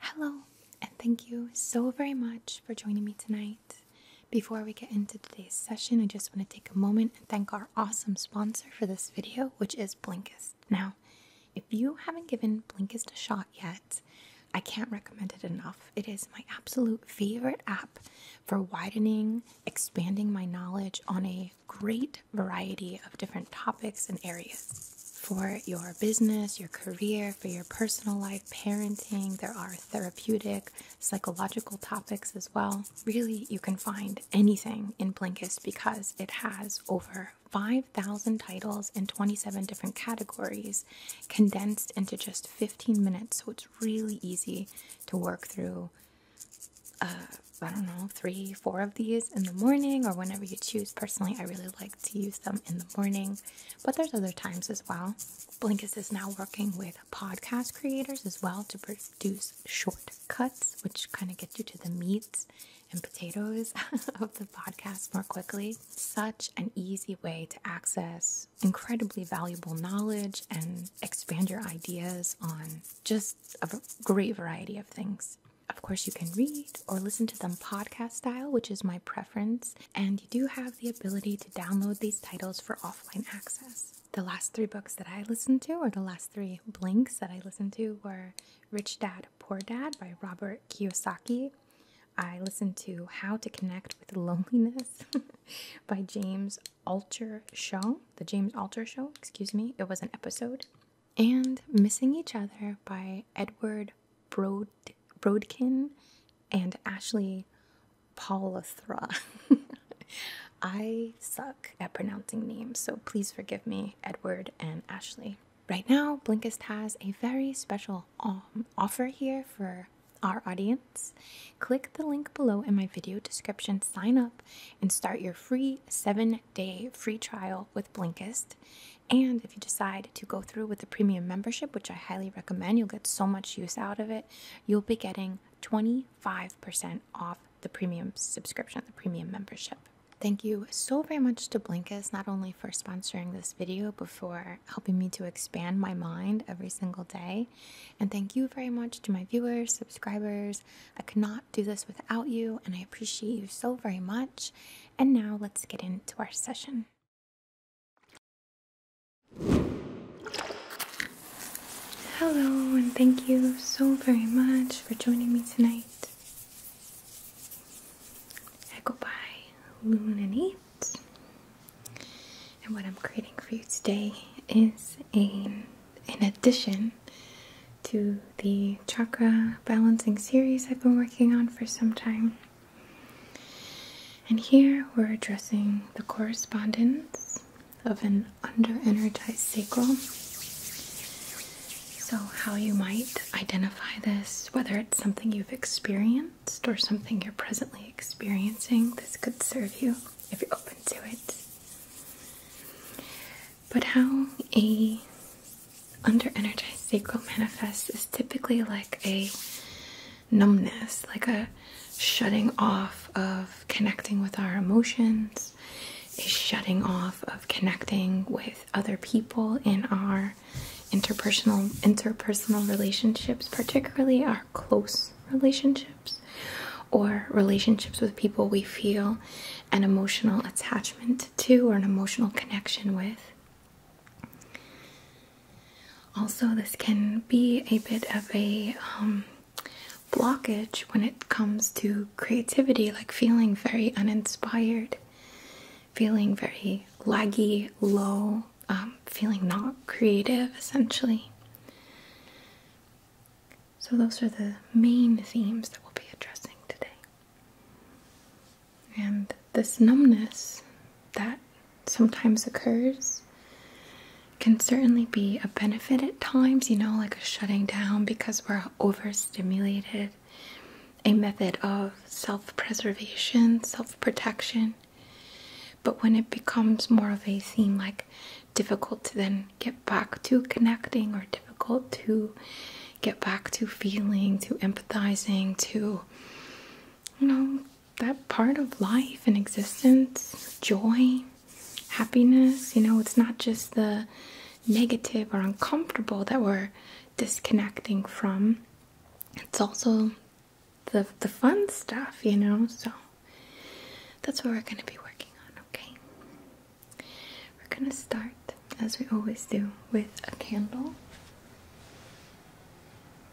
Hello, and thank you so very much for joining me tonight. Before we get into today's session, I just want to take a moment and thank our awesome sponsor for this video, which is Blinkist. Now, if you haven't given Blinkist a shot yet, I can't recommend it enough. It is my absolute favorite app for widening, expanding my knowledge on a great variety of different topics and areas. For your business, your career, for your personal life, parenting, there are therapeutic psychological topics as well. Really, you can find anything in Blinkist because it has over 5,000 titles in 27 different categories condensed into just 15 minutes. So it's really easy to work through, uh, I don't know, three, four of these in the morning or whenever you choose. Personally, I really like to use them in the morning, but there's other times as well Blinkist is now working with podcast creators as well to produce shortcuts, which kind of get you to the meats and potatoes of the podcast more quickly. Such an easy way to access incredibly valuable knowledge and expand your ideas on just a great variety of things. Of course, you can read or listen to them podcast style, which is my preference, and you do have the ability to download these titles for offline access the last three books that I listened to, or the last three blinks that I listened to, were Rich Dad, Poor Dad by Robert Kiyosaki. I listened to How to Connect with Loneliness by James Altucher Show, the James Altucher Show, excuse me, it was an episode, and Missing Each Other by Edward Brodkin and Ashley Paula Paulathra. I suck at pronouncing names, so please forgive me, Edward and Ashley. Right now, Blinkist has a very special um, offer here for our audience. Click the link below in my video description, sign up, and start your free seven day free trial with Blinkist. And if you decide to go through with the premium membership, which I highly recommend, you'll get so much use out of it. You'll be getting 20 Five percent off the premium subscription, the premium membership. Thank you so very much to Blinkist, not only for sponsoring this video, but for helping me to expand my mind every single day. And thank you very much to my viewers, subscribers. I could not do this without you, and I appreciate you so very much. And now let's get into our session. Hello, and thank you so very much for joining me tonight. I go by Luminate, and what I'm creating for you today is an, an addition to the chakra balancing series I've been working on for some time. And here we're addressing the correspondence of an under energized sacral. So, how you might identify this, whether it's something you've experienced or something you're presently experiencing, this could serve you if you're open to it. But how a under energized sacral manifests is typically like a numbness, like a shutting off of connecting with our emotions, is shutting off of connecting with other people in our interpersonal interpersonal relationships, particularly our close relationships or relationships with people we feel an emotional attachment to or an emotional connection with. Also, this can be a bit of a um, blockage when it comes to creativity, like feeling very uninspired, feeling very laggy, low, um, feeling not creative essentially. So, those are the main themes that we'll be addressing today. And this numbness that sometimes occurs can certainly be a benefit at times, you know, like a shutting down because we're overstimulated, a method of self preservation, self protection. But when it becomes more of a theme like difficult to then get back to connecting or difficult to get back to feeling, to empathizing, to, you know, that part of life and existence, joy, happiness. You know, it's not just the negative or uncomfortable that we're disconnecting from. It's also the the fun stuff, you know. So that's what we're going to be working on, okay? We're going to start as we always do with a candle.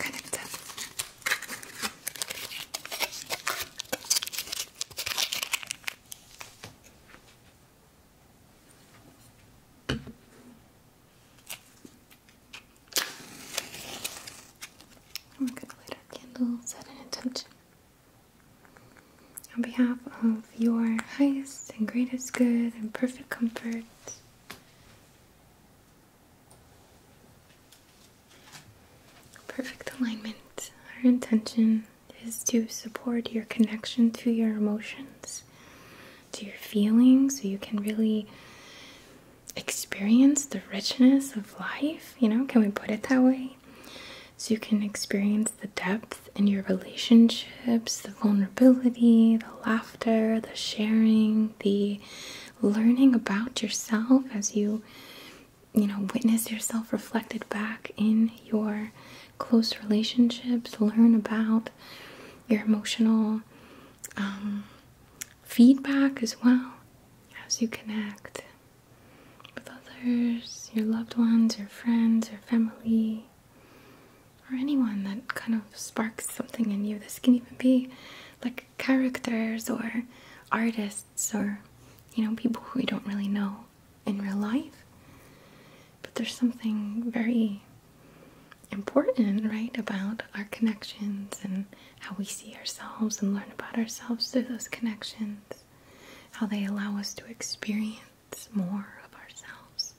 Connector. I'm going to light our candles at an intention. On behalf of your highest and greatest good and perfect comfort, perfect alignment, our intention is to support your connection to your emotions, to your feelings, so you can really experience the richness of life. You know, can we put it that way? So you can experience the depth in your relationships, the vulnerability, the laughter, the sharing, the learning about yourself as you you know witness yourself reflected back in your close relationships, learn about your emotional um, feedback as well as you connect with others, your loved ones, your friends, your family, or anyone that kind of sparks something in you. This can even be like characters or artists or, you know, people who you don't really know in real life. But there's something very important, right, about our connections and how we see ourselves and learn about ourselves through those connections how they allow us to experience more of ourselves.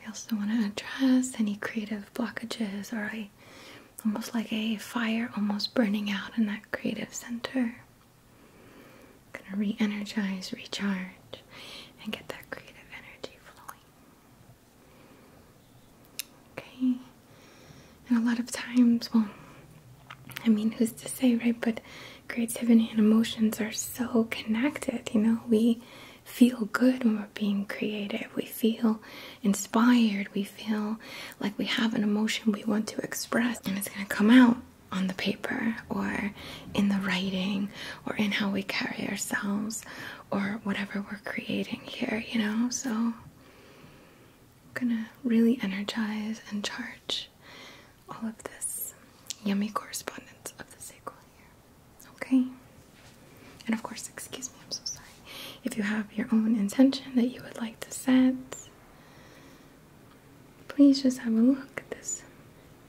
We also want to address any creative blockages or I, almost like a fire almost burning out in that creative center. Going to re energize, recharge, and get that creative energy flowing. Okay. And a lot of times, well, I mean, who's to say, right? But creativity and emotions are so connected, you know? We feel good when we're being creative, we feel inspired, we feel like we have an emotion we want to express, and it's going to come out on the paper or in the writing or in how we carry ourselves or whatever we're creating here, you know? So I'm gonna really energize and charge all of this yummy correspondence of the sacral here. Okay? And of course, excuse me, I'm so sorry. If you have your own intention that you would like to set, please just have a look at this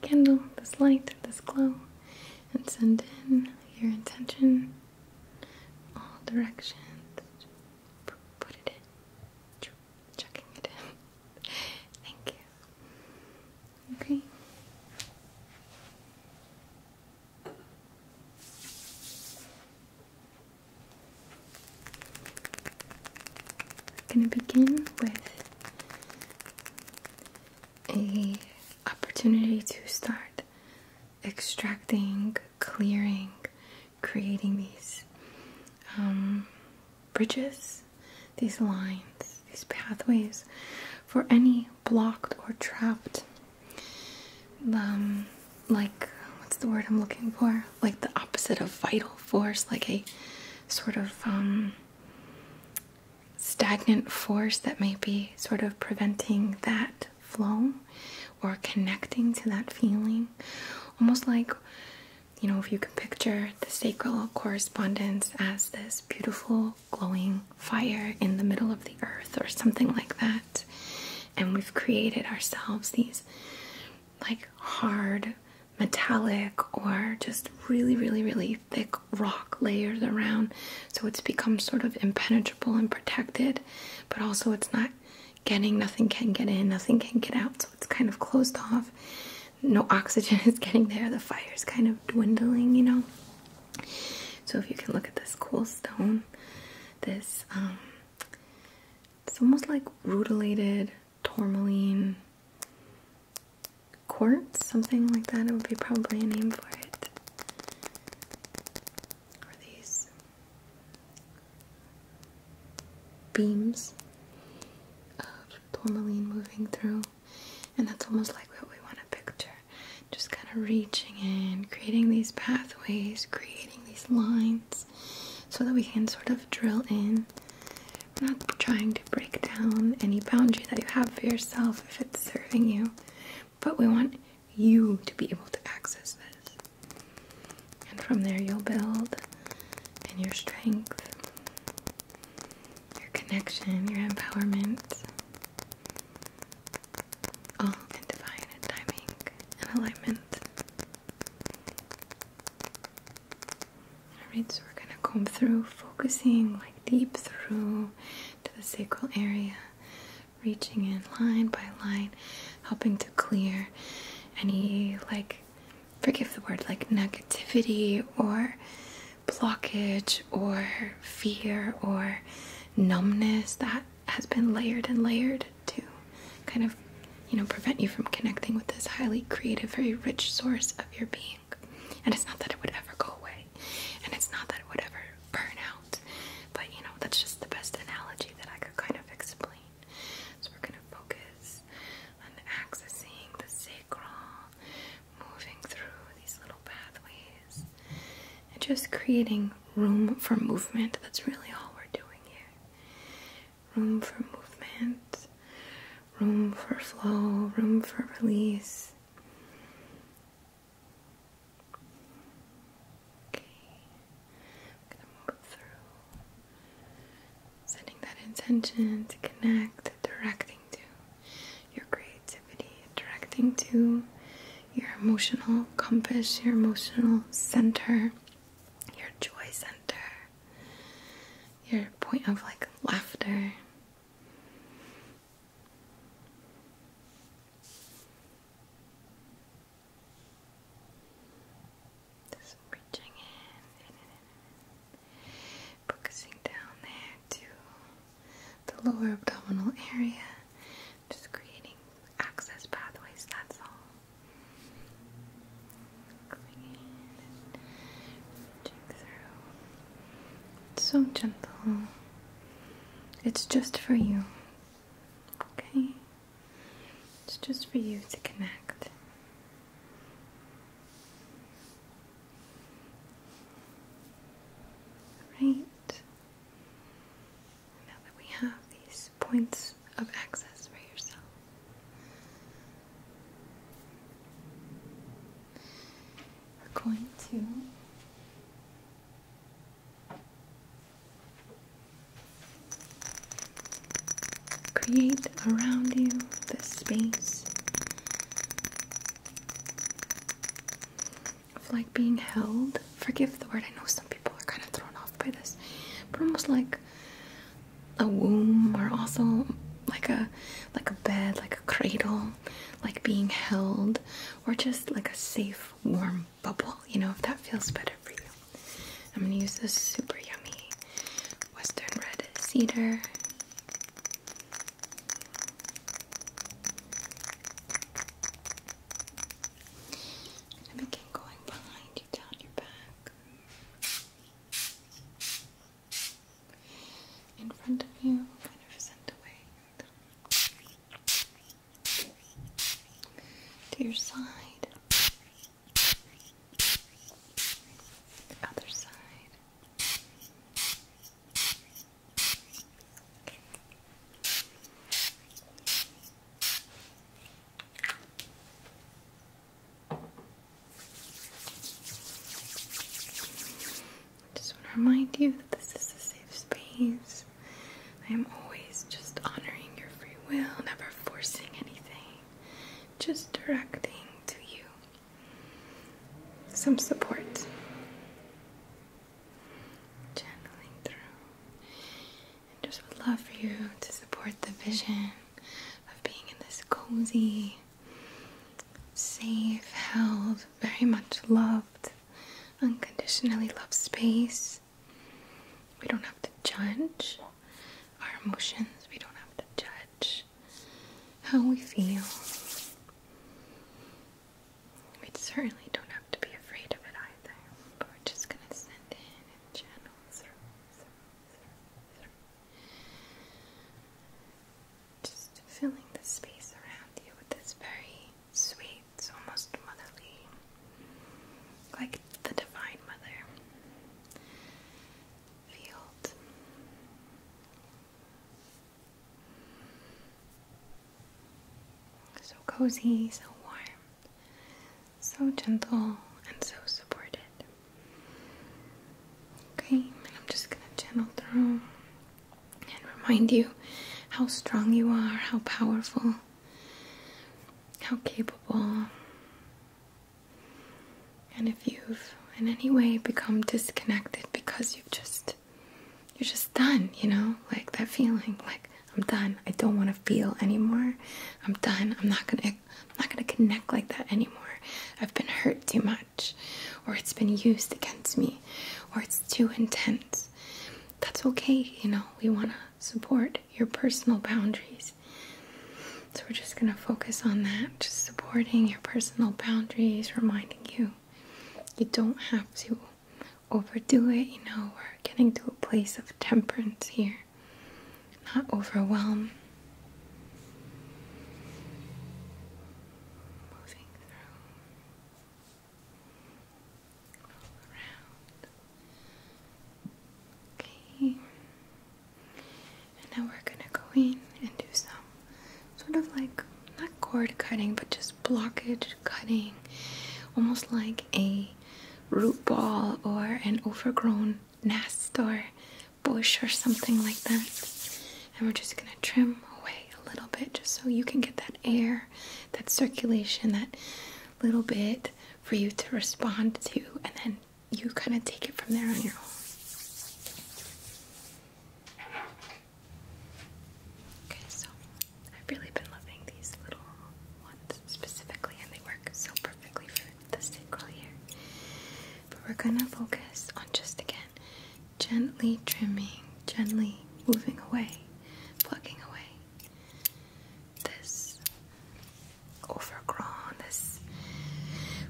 candle, this light, this glow, and send in your intention all directions. Put it in checking it in. Thank you. Okay. I'm going to begin with a opportunity to start extracting, clearing creating these um, bridges, these lines, these pathways for any blocked or trapped, um, like what's the word I'm looking for? Like the opposite of vital force, like a sort of um, stagnant force that may be sort of preventing that flow or connecting to that feeling, almost like you know, if you can picture the sacred correspondence as this beautiful glowing fire in the middle of the earth or something like that. And we've created ourselves these like hard metallic or just really, really, really thick rock layers around. So it's become sort of impenetrable and protected, but also it's not getting, nothing can get in, nothing can get out, so it's kind of closed off. No oxygen is getting there, the fire's kind of dwindling, you know. So, if you can look at this cool stone, this um, it's almost like rutilated tourmaline quartz, something like that. It would be probably a name for it. Or these beams of tourmaline moving through, and that's almost like what we want to picture just kind of reaching in, creating these pathways, creating these lines so that we can sort of drill in. We're not trying to break down any boundary that you have for yourself if it's serving you, but we want you to be able to access this. And from there, you'll build in your strength, your connection, your empowerment, all in divine timing and alignment. Alright, so we're going to comb through, focusing like deep through to the sacral area, reaching in line by line, helping to clear any like forgive the word like negativity or blockage or fear or numbness that has been layered and layered to kind of you know prevent you from connecting with this highly creative very rich source of your being and it's not that it would ever go away and it's not that it would ever burn out but you know that's just the best analogy that i could kind of explain so we're going to focus on accessing the sacral, moving through these little pathways, and just creating room for movement. That's really all we're doing here. Room for movement, room for flow, room for release. Okay. Sending that intention to connect, directing to your creativity, directing to your emotional compass, your emotional center, your joy center, your point of like laughter. Just reaching in, focusing down there to the lower abdominal area, just creating access pathways, that's all. Coming in and reaching through. It's so gentle. It's just for you. Okay? It's just for you to connect. Right. Now that we have these points of access for yourself, we're going to Create around you the space of like being held. Forgive the word, I know some people are kind of thrown off by this, but almost like a womb or also like a like a bed, like a cradle, like being held, or just like a safe warm bubble, you know, if that feels better for you. I'm gonna use this super yummy Western Red Cedar. i begin going behind you down your back. In front of you, To your side. The other side. Just want to remind you that this is a safe space. I am always just honoring your free will, never forcing anything just directing to you some support, channeling through, just would love for you to support the vision of being in this cozy, safe, held, very much loved, unconditionally loved space we don't have to judge our emotions. We don't have to judge how we feel. We certainly don't have to be afraid of it either. But we're just going to send in and channel through, Just filling the space around you with this very sweet, almost motherly like the Divine Mother field. So cozy, so warm, so gentle, and so supported. Okay, I'm just gonna channel through and remind you how strong you are, how powerful, how capable, and if you've in any way become disconnected because you've just you're just done, you know, like that feeling, like I'm done. I don't want to feel anymore. I'm done. I'm not gonna. I'm not gonna connect like that anymore. I've been hurt too much, or it's been used against me, or it's too intense. That's okay, you know. We wanna support your personal boundaries. So, we're just going to focus on that, just supporting your personal boundaries, reminding you you don't have to overdo it. You know, we're getting to a place of temperance here, not overwhelm. Okay. And now we're gonna go in and do some sort of like not cord cutting but just blockage cutting almost like a root ball or an overgrown nest or bush or something like that. And we're just gonna trim away a little bit just so you can get that air, that circulation, that little bit for you to respond to and then you kind of take it from there on your own. Okay, so I've really been loving these little ones specifically, and they work so perfectly for the sacral here. But we're gonna focus on just again gently trimming, gently moving away, plucking away this overgrown, this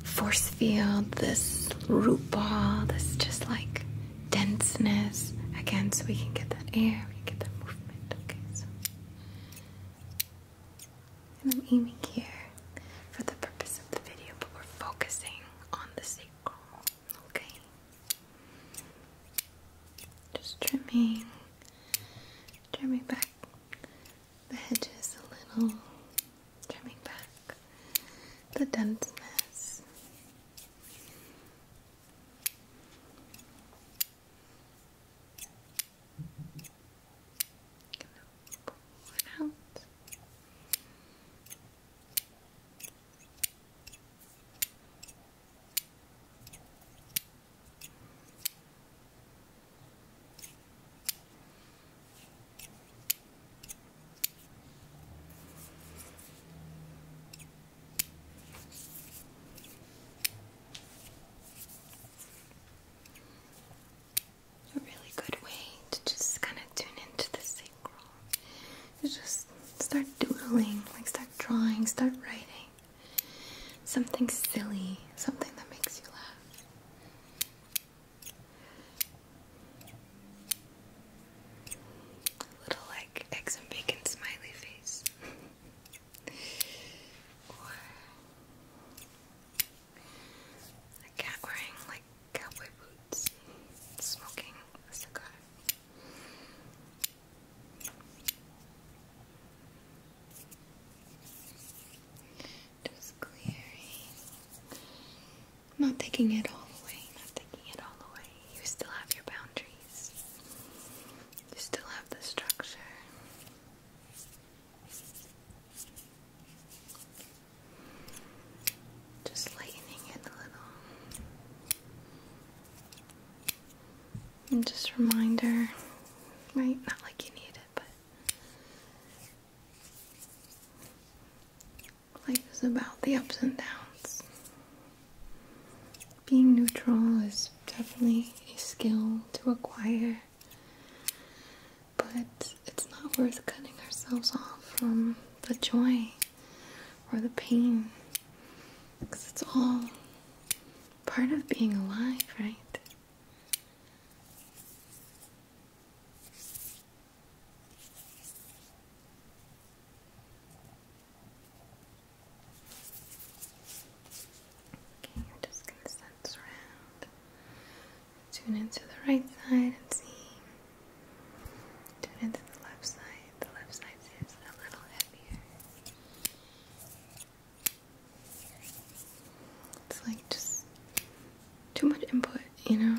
force field, this root ball, this just like denseness. Again, so we can get that air, we get that movement. Okay, And I'm aiming here for the purpose of the video, but we're focusing on the sacral. Okay. Just trimming, trimming back the hedges a little, trimming back the denseness. A really good way to just kind of tune into the sacral. You just start doodling, like start drawing, start writing. Something silly, something that makes you laugh. A little like eggs and bacon smiley face. or a cat wearing like cowboy boots, smoking a cigar. Just clearing. Not taking it all away, not taking it all away. You still have your boundaries. You still have the structure. Just lightening it a little. And just reminder, right? Not like you need it, but life is about the ups and downs. Being neutral is definitely a skill to acquire, but it's not worth cutting ourselves off from the joy or the pain because it's all part of being alive, right? Okay, I'm just going to sense around. Tune into the right side and see. Tune into the left side. The left side seems a little heavier. It's like just too much input, you know?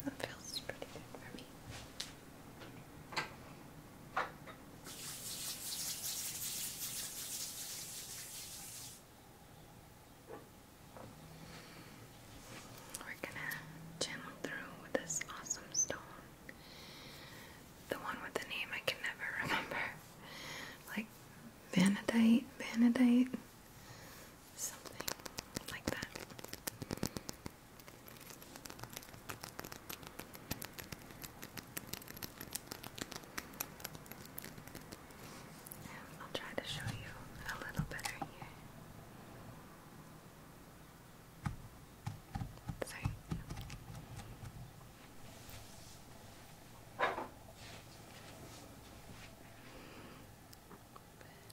Okay, that feels pretty good for me. We're gonna channel through with this awesome stone. The one with the name I can never remember. Like Vanadite, Vanadite, something like that. I'll try to show you a little better here. So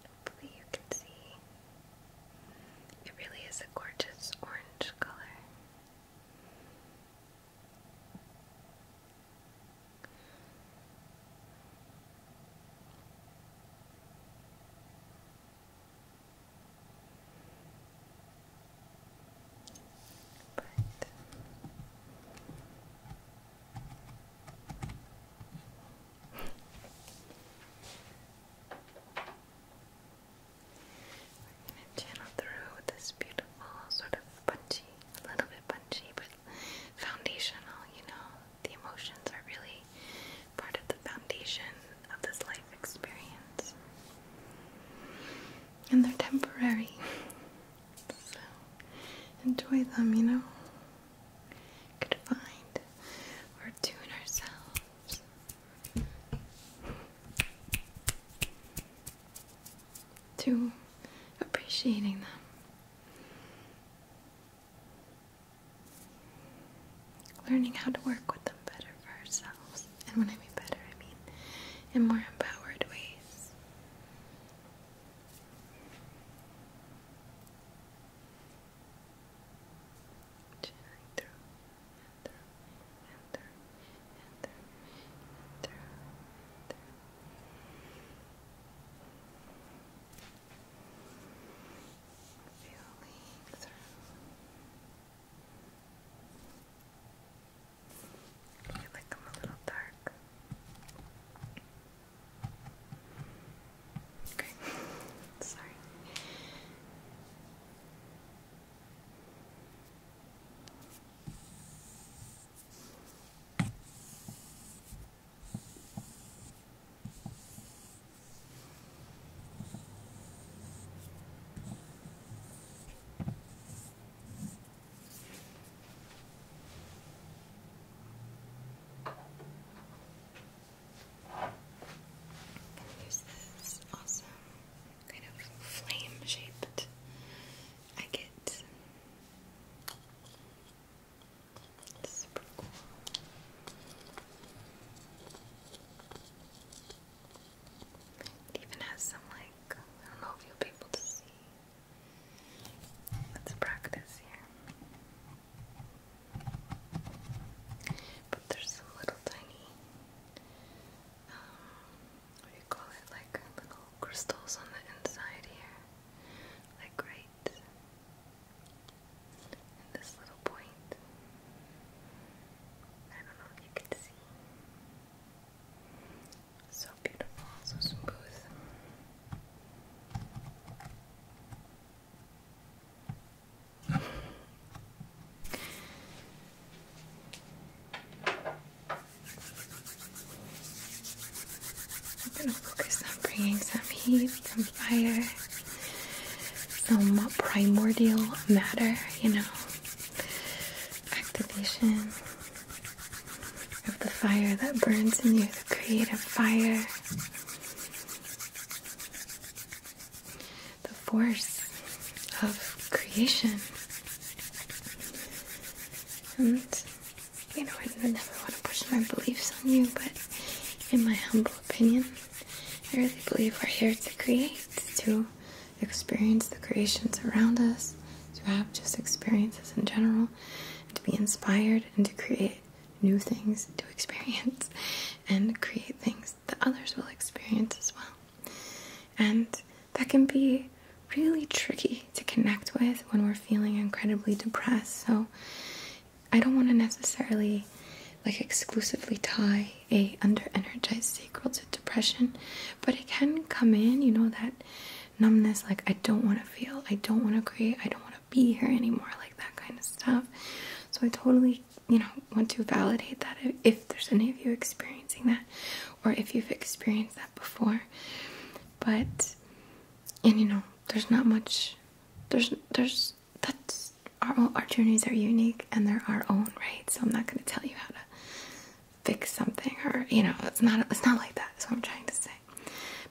hopefully you can see it really is a gorgeous orange color. But we're going to channel through this beautiful, sort of punchy, a little bit punchy, but foundational, you know. The emotions are really part of the foundation of this life experience. And they're temporary. so enjoy them, you know? Could find or tune ourselves. To appreciating them learning how to work with them better for ourselves. And when I mean better, I mean in more empowered ways. through, through, through, through, through, through. through you like them a little dark. Okay, sorry. There's this awesome kind of flame shaped agate. It's it even has some like I don't know if you'll be able to see. Let's practice here. But there's some little tiny um, what do you call it? Like little crystals on the inside here. Like right this little point. I don't know if you can see. So beautiful, so smooth. I'm gonna focus on bringing some heat some fire some primordial matter, you know, activation of the fire that burns in you, the creative fire, the force of creation. And, you know, I never want to push my beliefs on you, but in my humble opinion, I really believe we're here to create, to experience the creations around us, to have just experiences in general, to be inspired and to create new things to experience and create things that others will experience as well. And that can be really tricky to connect with when we're feeling incredibly depressed. So I don't want to necessarily like exclusively tie a under-energized sacral to depression, but it can come in, you know, that numbness, like I don't want to feel, I don't want to create, I don't want to be here anymore, like that kind of stuff. So I totally, you know, want to validate that if there's any of you experiencing that, or if you've experienced that before. But and you know, there's not much, there's there's that's our our journeys are unique and they're our own, right? So I'm not going to tell you how to fix something or you know it's not it's not like that. Is what I'm trying to say,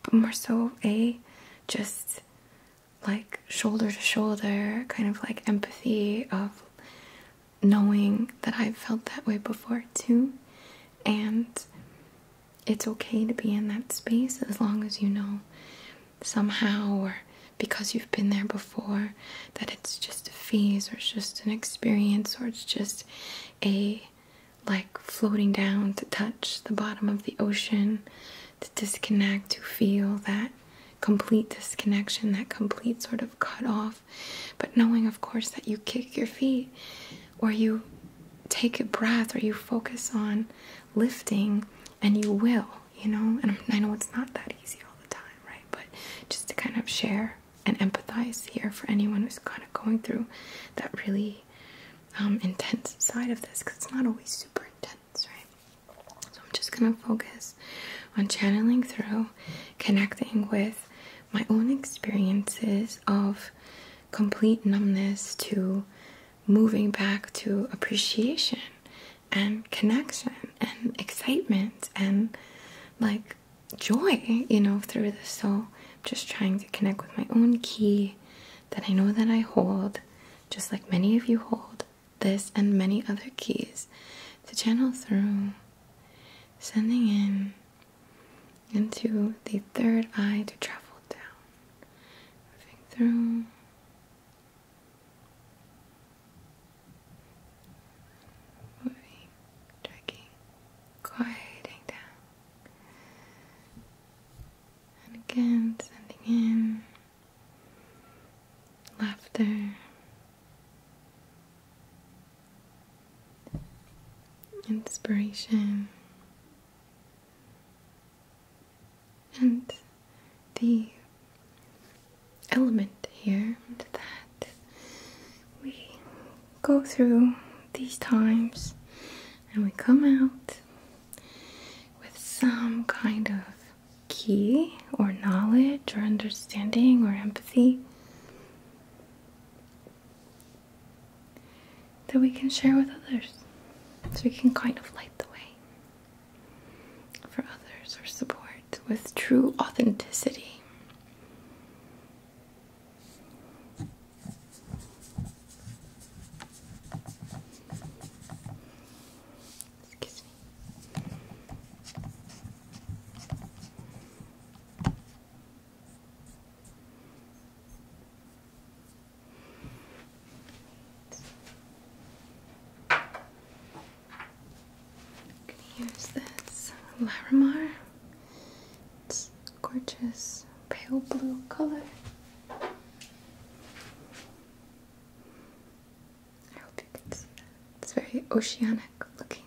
but more so a just like shoulder to shoulder kind of like empathy of knowing that I've felt that way before too, and it's okay to be in that space as long as you know somehow or because you've been there before that it's just a phase or it's just an experience or it's just a like floating down to touch the bottom of the ocean to disconnect to feel that complete disconnection that complete sort of cut off but knowing of course that you kick your feet or you take a breath or you focus on lifting and you will, you know. And I know it's not that easy all the time, right? But just to kind of share and empathize here for anyone who's kind of going through that really um, intense side of this because it's not always super intense, right? So I'm just gonna focus on channeling through, connecting with my own experiences of complete numbness to moving back to appreciation and connection and excitement and like joy, you know, through the soul. just trying to connect with my own key that I know that I hold, just like many of you hold this and many other keys to channel through, sending in into the third eye to travel down, moving through Moving, dragging, quieting down. And again, sending in laughter. Inspiration and the element here that we go through these times and we come out with some kind of key or knowledge or understanding or empathy that we can share with others so we can kind of light the way for others or support with true authenticity. Excuse me. I'm gonna use this Larimar. It's gorgeous pale blue color. I hope you can see that. It's very oceanic looking.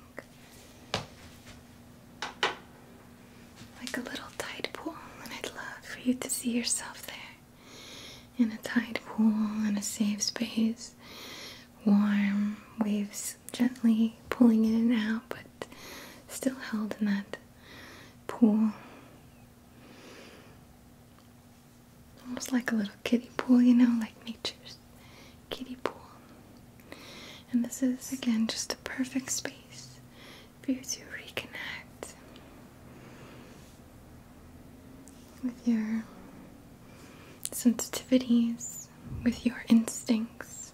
Like a little tide pool, and I'd love for you to see yourself there in a tide pool in a safe space, warm waves gently pulling in and out, but still held in that pool. Almost like a little kiddie pool, you know, like nature's kiddie pool. And this is again just a perfect space for you to reconnect with your sensitivities, with your instincts,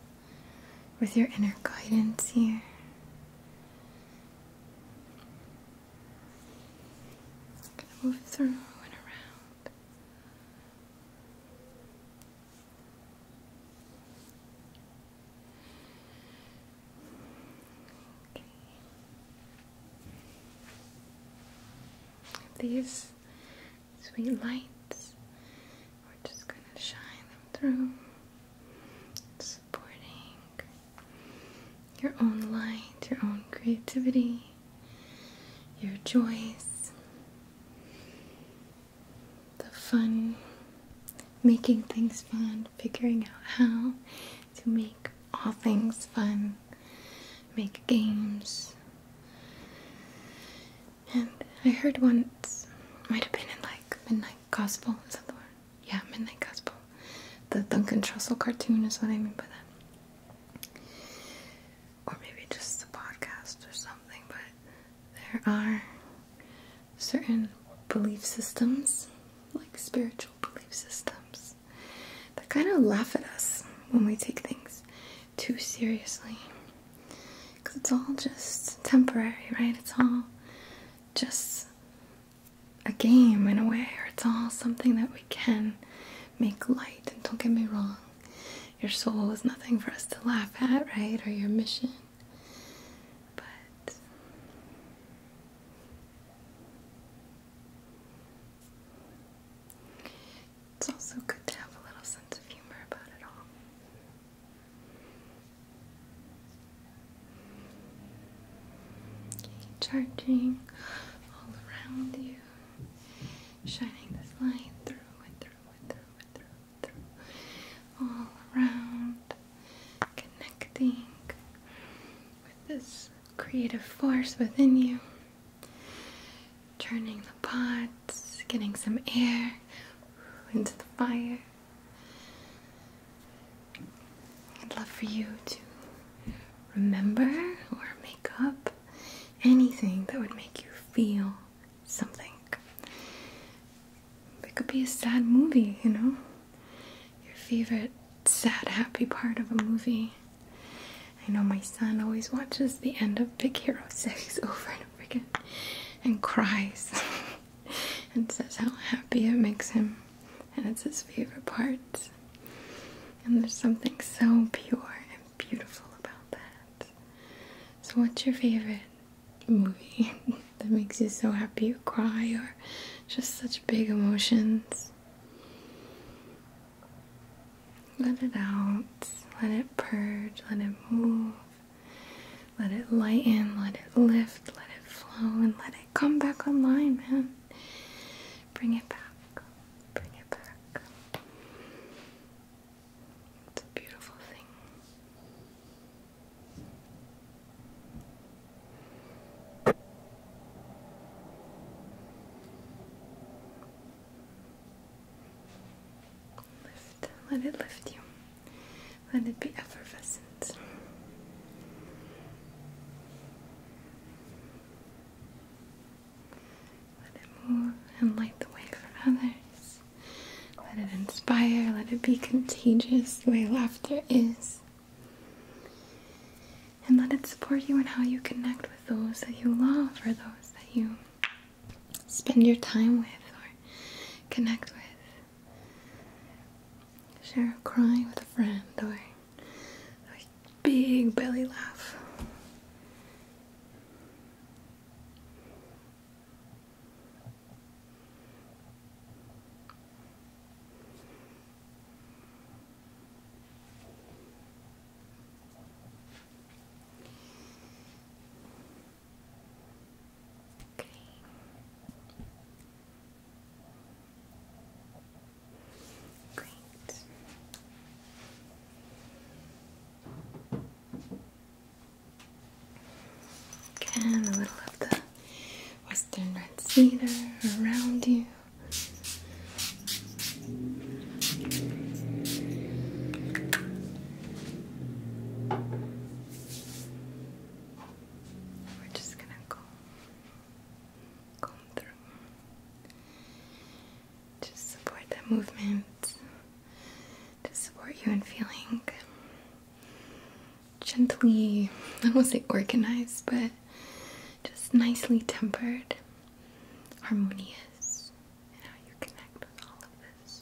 with your inner guidance here. move through and around. These sweet lights, we're just going to shine them through, supporting your own light, your own creativity, your joys, the fun, making things fun, figuring out how to make all things fun make games. And I heard once, might have been in like Midnight Gospel, is that the word? Yeah, Midnight Gospel. The Duncan Trussell cartoon is what I mean by that. Or maybe just the podcast or something, but there are certain belief systems, like spiritual belief systems, that kind of laugh at us when we take things too seriously. Because it's all just temporary, right? It's all just a game in a way, or it's all something that we can make light. And don't get me wrong, your soul is nothing for us to laugh at, right? Or your mission. But it's also good to have a little sense of humor about it all. charging all around you, shining this light through and through and through and through and through, all around, connecting with this creative force within you. Turning the pots, getting some air into the fire. I'd love for you to remember or make up anything that would make you feel something. It could be a sad movie, you know? Your favorite sad, happy part of a movie. I know my son always watches the end of Big Hero 6 over and over again and cries and says how happy it makes him, and it's his favorite part. And there's something so pure and beautiful about that. So, what's your favorite movie that makes you so happy you cry or just such big emotions? Let it out. Let it purge. Let it move. Let it lighten. Let it lift. Let it flow. And let it come back online, man. Bring it back. Bring it back. It's a beautiful thing. Let it lift you. Let it be effervescent. Let it move and light the way for others. Let it inspire. Let it be contagious the way laughter is. And let it support you in how you connect with those that you love or those that you spend your time with or connect with. Share a cry with a friend or a big belly laugh. Okay. Great. Again, a little of the western red cedar around you. We're just gonna go comb, through. Just support that movement. To support you in feeling gently, I don't want to say organized, but just nicely tempered harmonious in how you connect with all of this.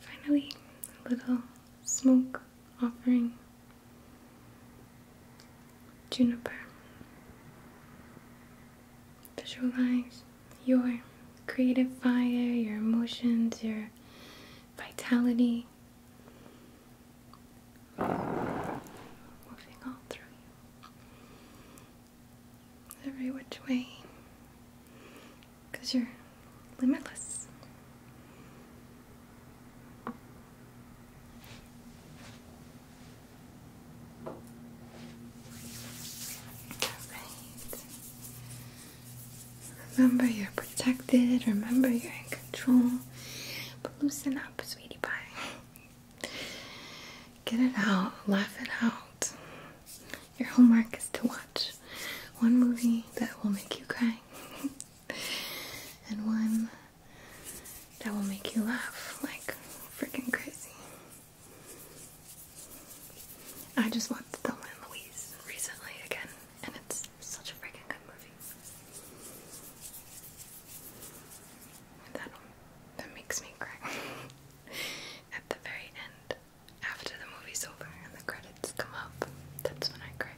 Finally, a little smoke offering juniper. Visualize your creative fire, your emotions, your vitality moving all through you every which way because you're limitless. All right. Remember you're protected, remember you're in control. But loosen up, sweetie pie. Get it out, laugh it out. Your homework is to watch one movie that will make you cry and one that will make you laugh like freaking crazy. I just watched *The and Louise recently again and it's such a freaking good movie. That makes me cry. At the very end, after the movie's over and the credits come up, that's when I cry.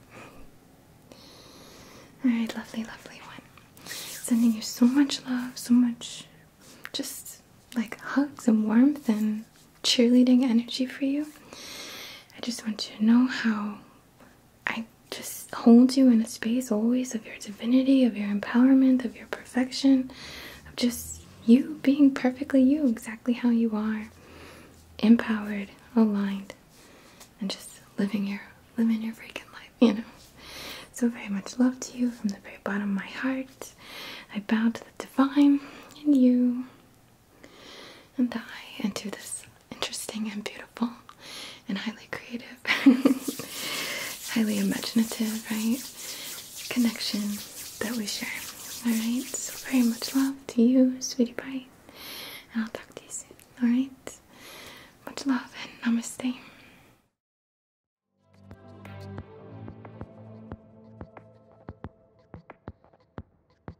Alright, lovely, lovely one. Sending you so much love, so much just like hugs and warmth and cheerleading energy for you. I just want you to know how I just hold you in a space always of your divinity, of your empowerment, of your perfection, of just you being perfectly you, exactly how you are, empowered, aligned, and just living your living your freaking life, you know. So very much love to you from the very bottom of my heart. I bow to the divine in you and die into this interesting and beautiful and highly creative, highly imaginative, right? Connection that we share. Alright, so very much love to you, sweetie pie. And I'll talk to you soon. Alright? Much love and namaste.